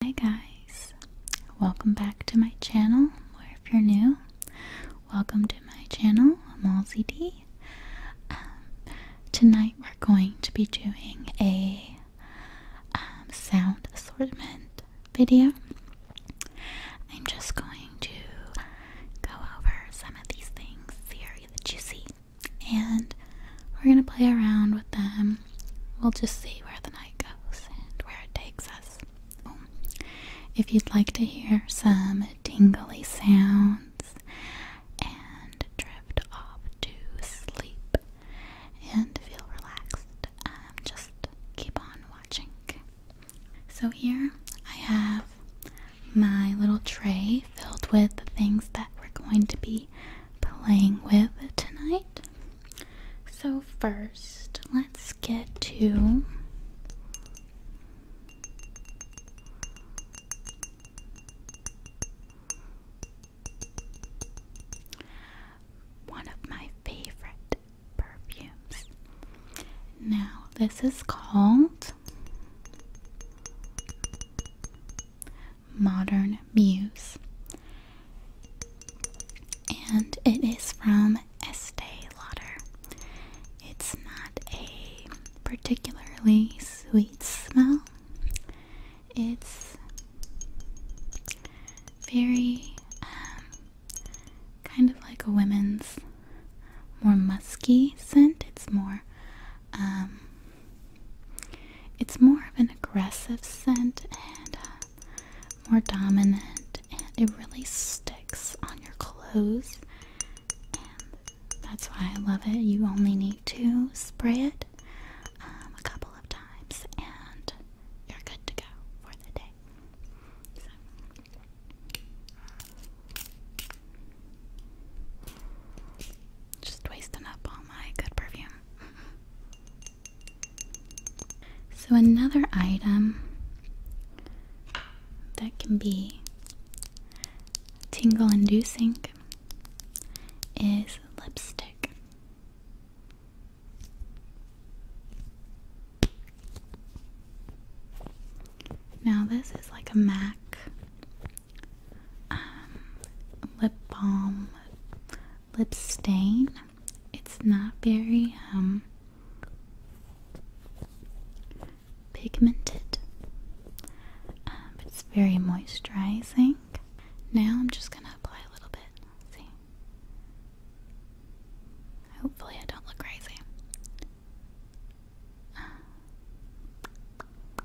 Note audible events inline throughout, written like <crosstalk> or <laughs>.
Hi guys, welcome back to my channel, or if you're new, welcome to my channel, I'm AllZD. Um, tonight we're going to be doing a um, sound assortment video. I'm just going to go over some of these things here that you see, and we're going to play around with them we'll just see where the night goes and where it takes us. if you'd like to hear some tingly sounds and drift off to sleep and feel relaxed, um, just keep on watching. So, here I have my little tray filled with the things that we're going to be playing with tonight. So, first, let's get to one of my favorite perfumes. Now, this is called Modern Muse. And it is from Estee Lauder. It's not a particularly sweet smell. It's very um, kind of like a women's more musky scent. It's more um, it's more of an aggressive scent and uh, more dominant, and it really sticks on your clothes. And that's why I love it. You only need to spray it um, a couple of times, and you're good to go for the day. Just wasting up all my good perfume. So, another item that can be tingle inducing is lipstick. Now, this is like a MAC um, lip balm lip stain. It's not very um pigmented, uh, it's very moisturizing. Now I'm just gonna apply a little bit. see. Hopefully I don't look crazy.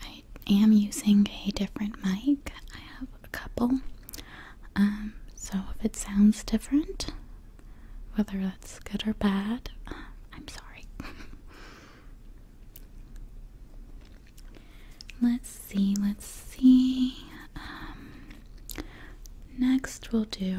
I am using a different mic. I have a couple. Um, so if it sounds different, whether that's good or bad, uh, I'm sorry. <laughs> let's see, let's see. Um, next, we'll do.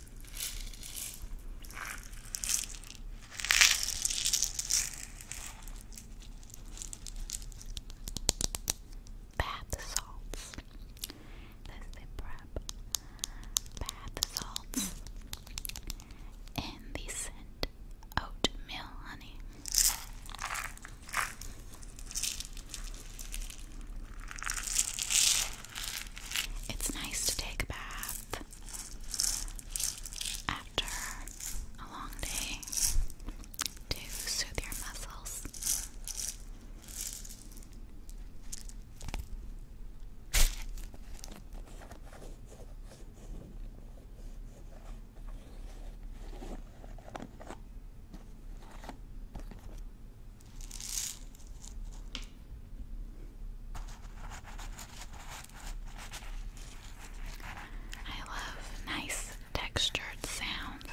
Bath salts. That's the prep. Bath salts. And the scent oatmeal honey. It's nice to take a bath after a long day to soothe your muscles. I love nice textured sounds.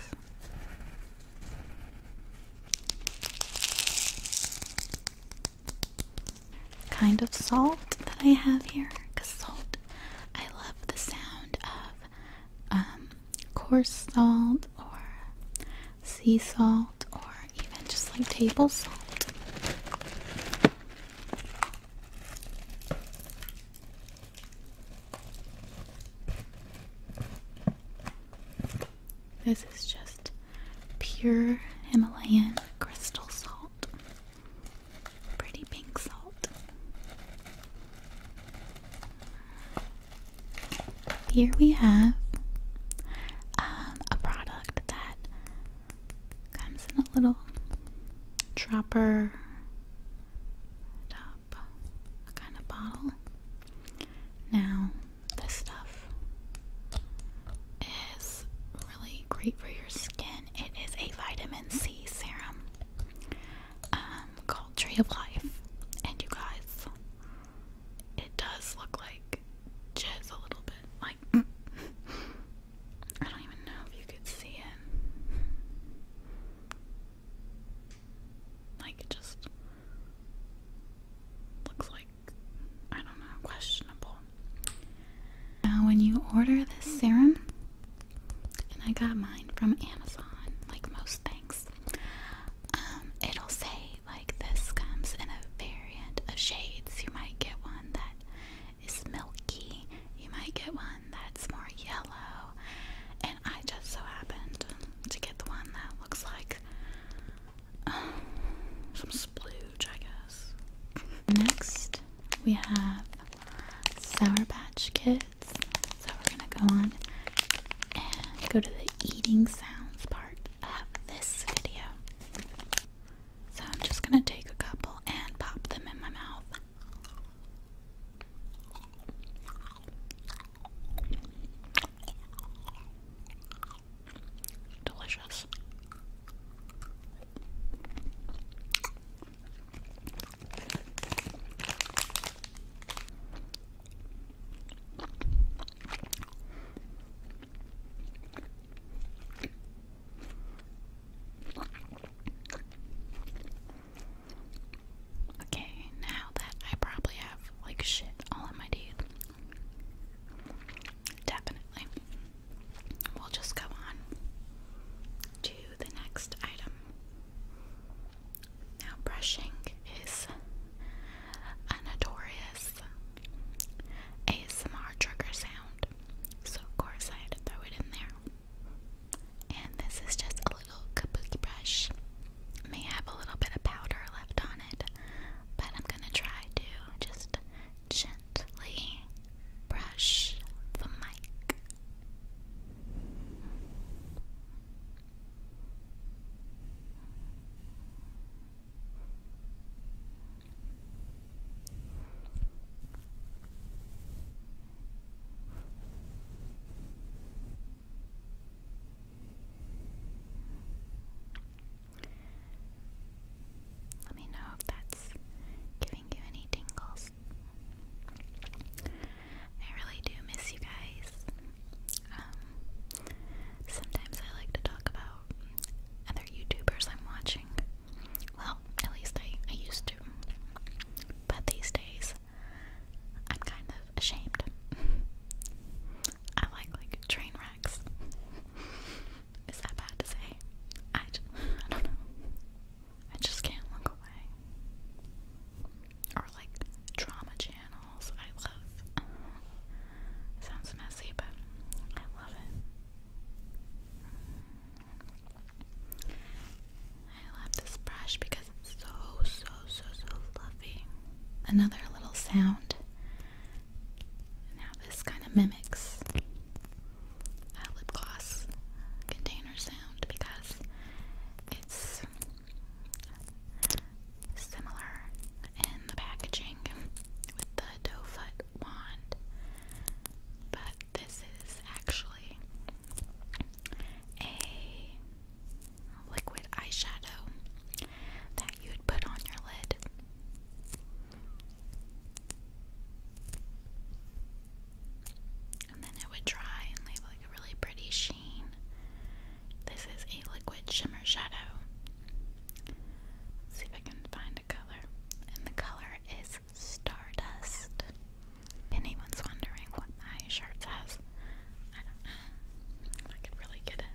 Kind of salt that I have here, salt, I love the sound of um, coarse salt or sea salt or even just like table salt. This is just pure Himalayan crystal salt. Pretty pink salt. Here we have um, a product that comes in a little dropper kind of bottle. Now, this stuff is really great for your skin. It is a vitamin C serum. Um, called Tree of Life. And you guys, it does look like jizz a little bit. Like, <laughs> I don't even know if you could see it. Like, it just looks like, I don't know, questionable. Now, when you order this serum, and I got mine from Amazon, like most things, um, it'll say like this comes in a variant of shades. You might get one that is milky. You might get one that's more yellow. And I just so happened to get the one that looks like um, some splooge, I guess. Next, we have Sour Patch Kid. So we're gonna go on and go to the eating sounds part of this video. So I'm just gonna take a couple and pop them in my mouth. Delicious. Okay, now that I probably have like shit all in my teeth, definitely, we'll just go on to the next item. Now, brushing is a notorious ASMR trigger sound, so of course I had to throw it in there. And this is just a little kabuki brush. May have a little bit of powder left on it, but I'm gonna try to just gently brush the mic. Let me know if that's giving you any tingles. I really do miss you guys. Um, sometimes I like to talk about other YouTubers I'm watching. Well, at least I, I used to. But these days, I'm kind of ashamed. <laughs> I like like train wrecks. <laughs> Is that bad to say? I, <laughs> I don't know. I just can't look away. Or like drama channels. I love. <laughs> Sounds messy, but I love it. I love this brush because it's so, so, so, so fluffy. Another little sound. Now this kind of mimics uh, lip gloss container sound because it's similar in the packaging with the doe foot wand, but this is actually a liquid eyeshadow that you'd put on your lid and then it would dry and leave like a really pretty sheen. This is a liquid shimmer shadow. see if I can find a color. And the color is Stardust. If anyone's wondering what my shirt says, I don't I could really get it.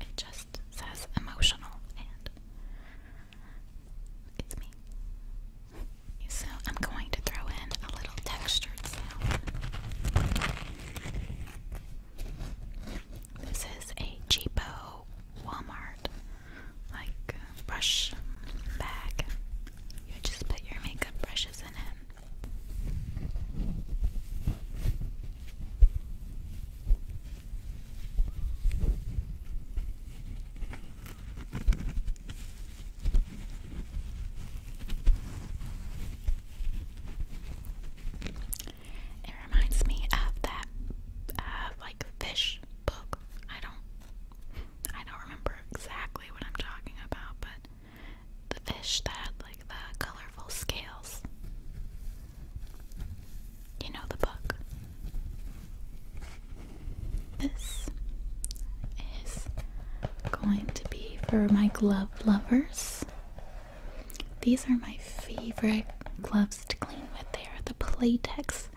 It just says emotional and it's me. So I'm going to throw in a little textured sound. This is a cheapo Walmart like uh, brush bag. You just put your makeup brushes in it. It reminds me of that uh, like fish book. I don't I don't remember exactly what I'm talking about, but the fish that had like the colorful scales. You know the book. This is going to be for my glove lovers. These are my favorite gloves to clean with. They are the Playtex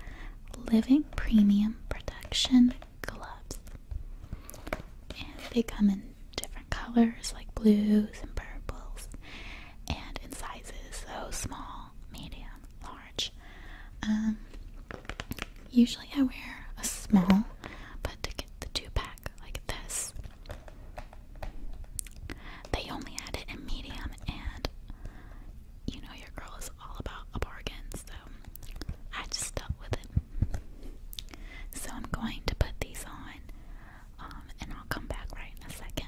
Living Premium Protection Gloves. And they come in different colors like blues and purples and in sizes so small small, medium, large. Um, usually I wear a small, but to get the two pack like this, they only had it in medium, and you know your girl is all about a bargain, so I just stuck with it. So I'm going to put these on, um, and I'll come back right in a second.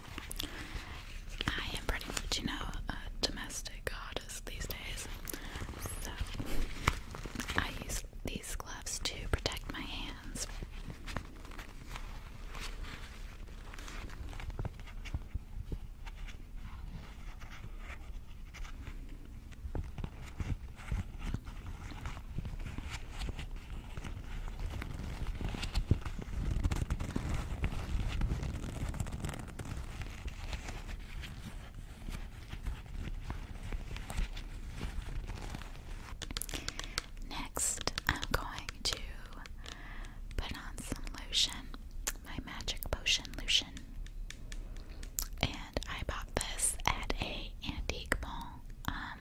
I am pretty much, you know, a domestic artist these days. So I use these gloves to protect my hands. Next, I'm going to put on some lotion, my magic potion lotion. And I bought this at a antique mall. Um,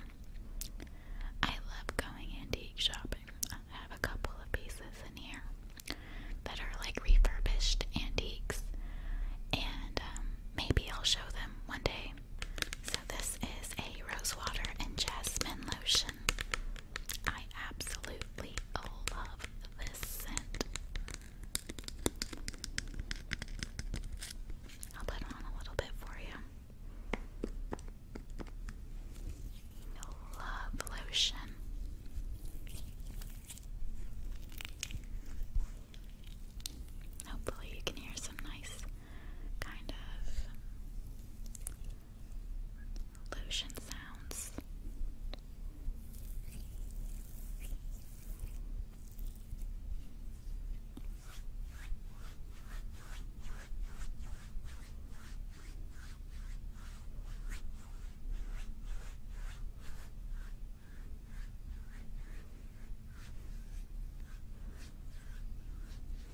I love going antique shopping. I have a couple of pieces in here that are like refurbished antiques, and um, maybe I'll show them one day. So, this is a rosewater and jasmine lotion. I absolutely love this scent. I'll put on a little bit for you you love lotion. Hopefully, you can hear some nice kind of lotion sounds.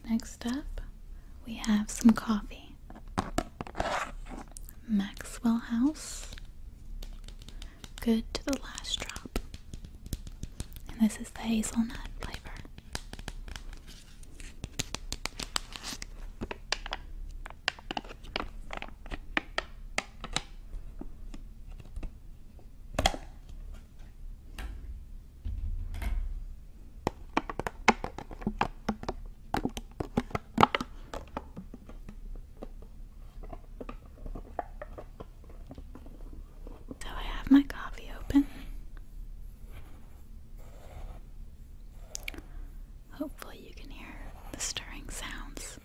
Next up, we have some coffee. Maxwell House. Good to the last drop. And this is the hazelnut flavor. So I have my coffee open. Hopefully, you can hear the stirring sounds.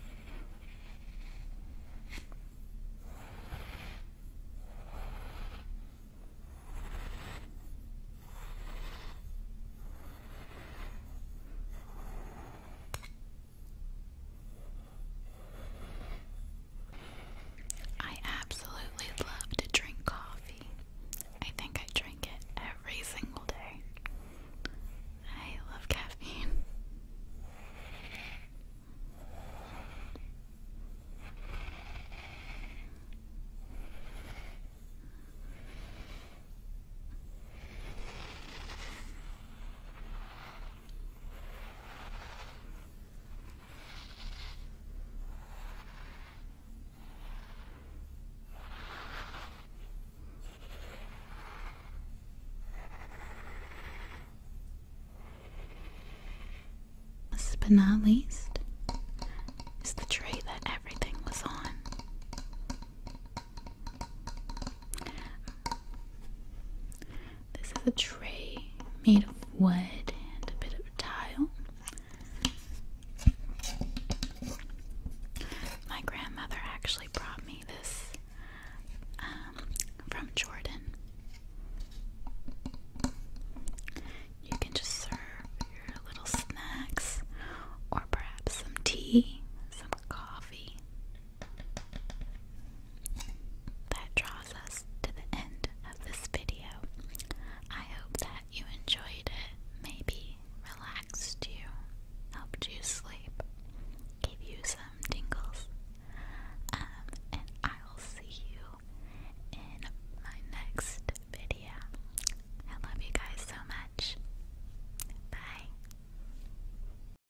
I absolutely love to drink coffee. I think I drink it every single day. I love caffeine. Last but not least is the tray that everything was on. This is a tray made of wood and a bit of tile. My grandmother actually brought me this um, from Jordan. You can just serve your little snacks or perhaps some tea, some coffee, that draws us to the end of this video. I hope that you enjoyed it, maybe relaxed you, helped you sleep, gave you some tingles. Um, and I will see you in my next video. I love you guys so much. Bye.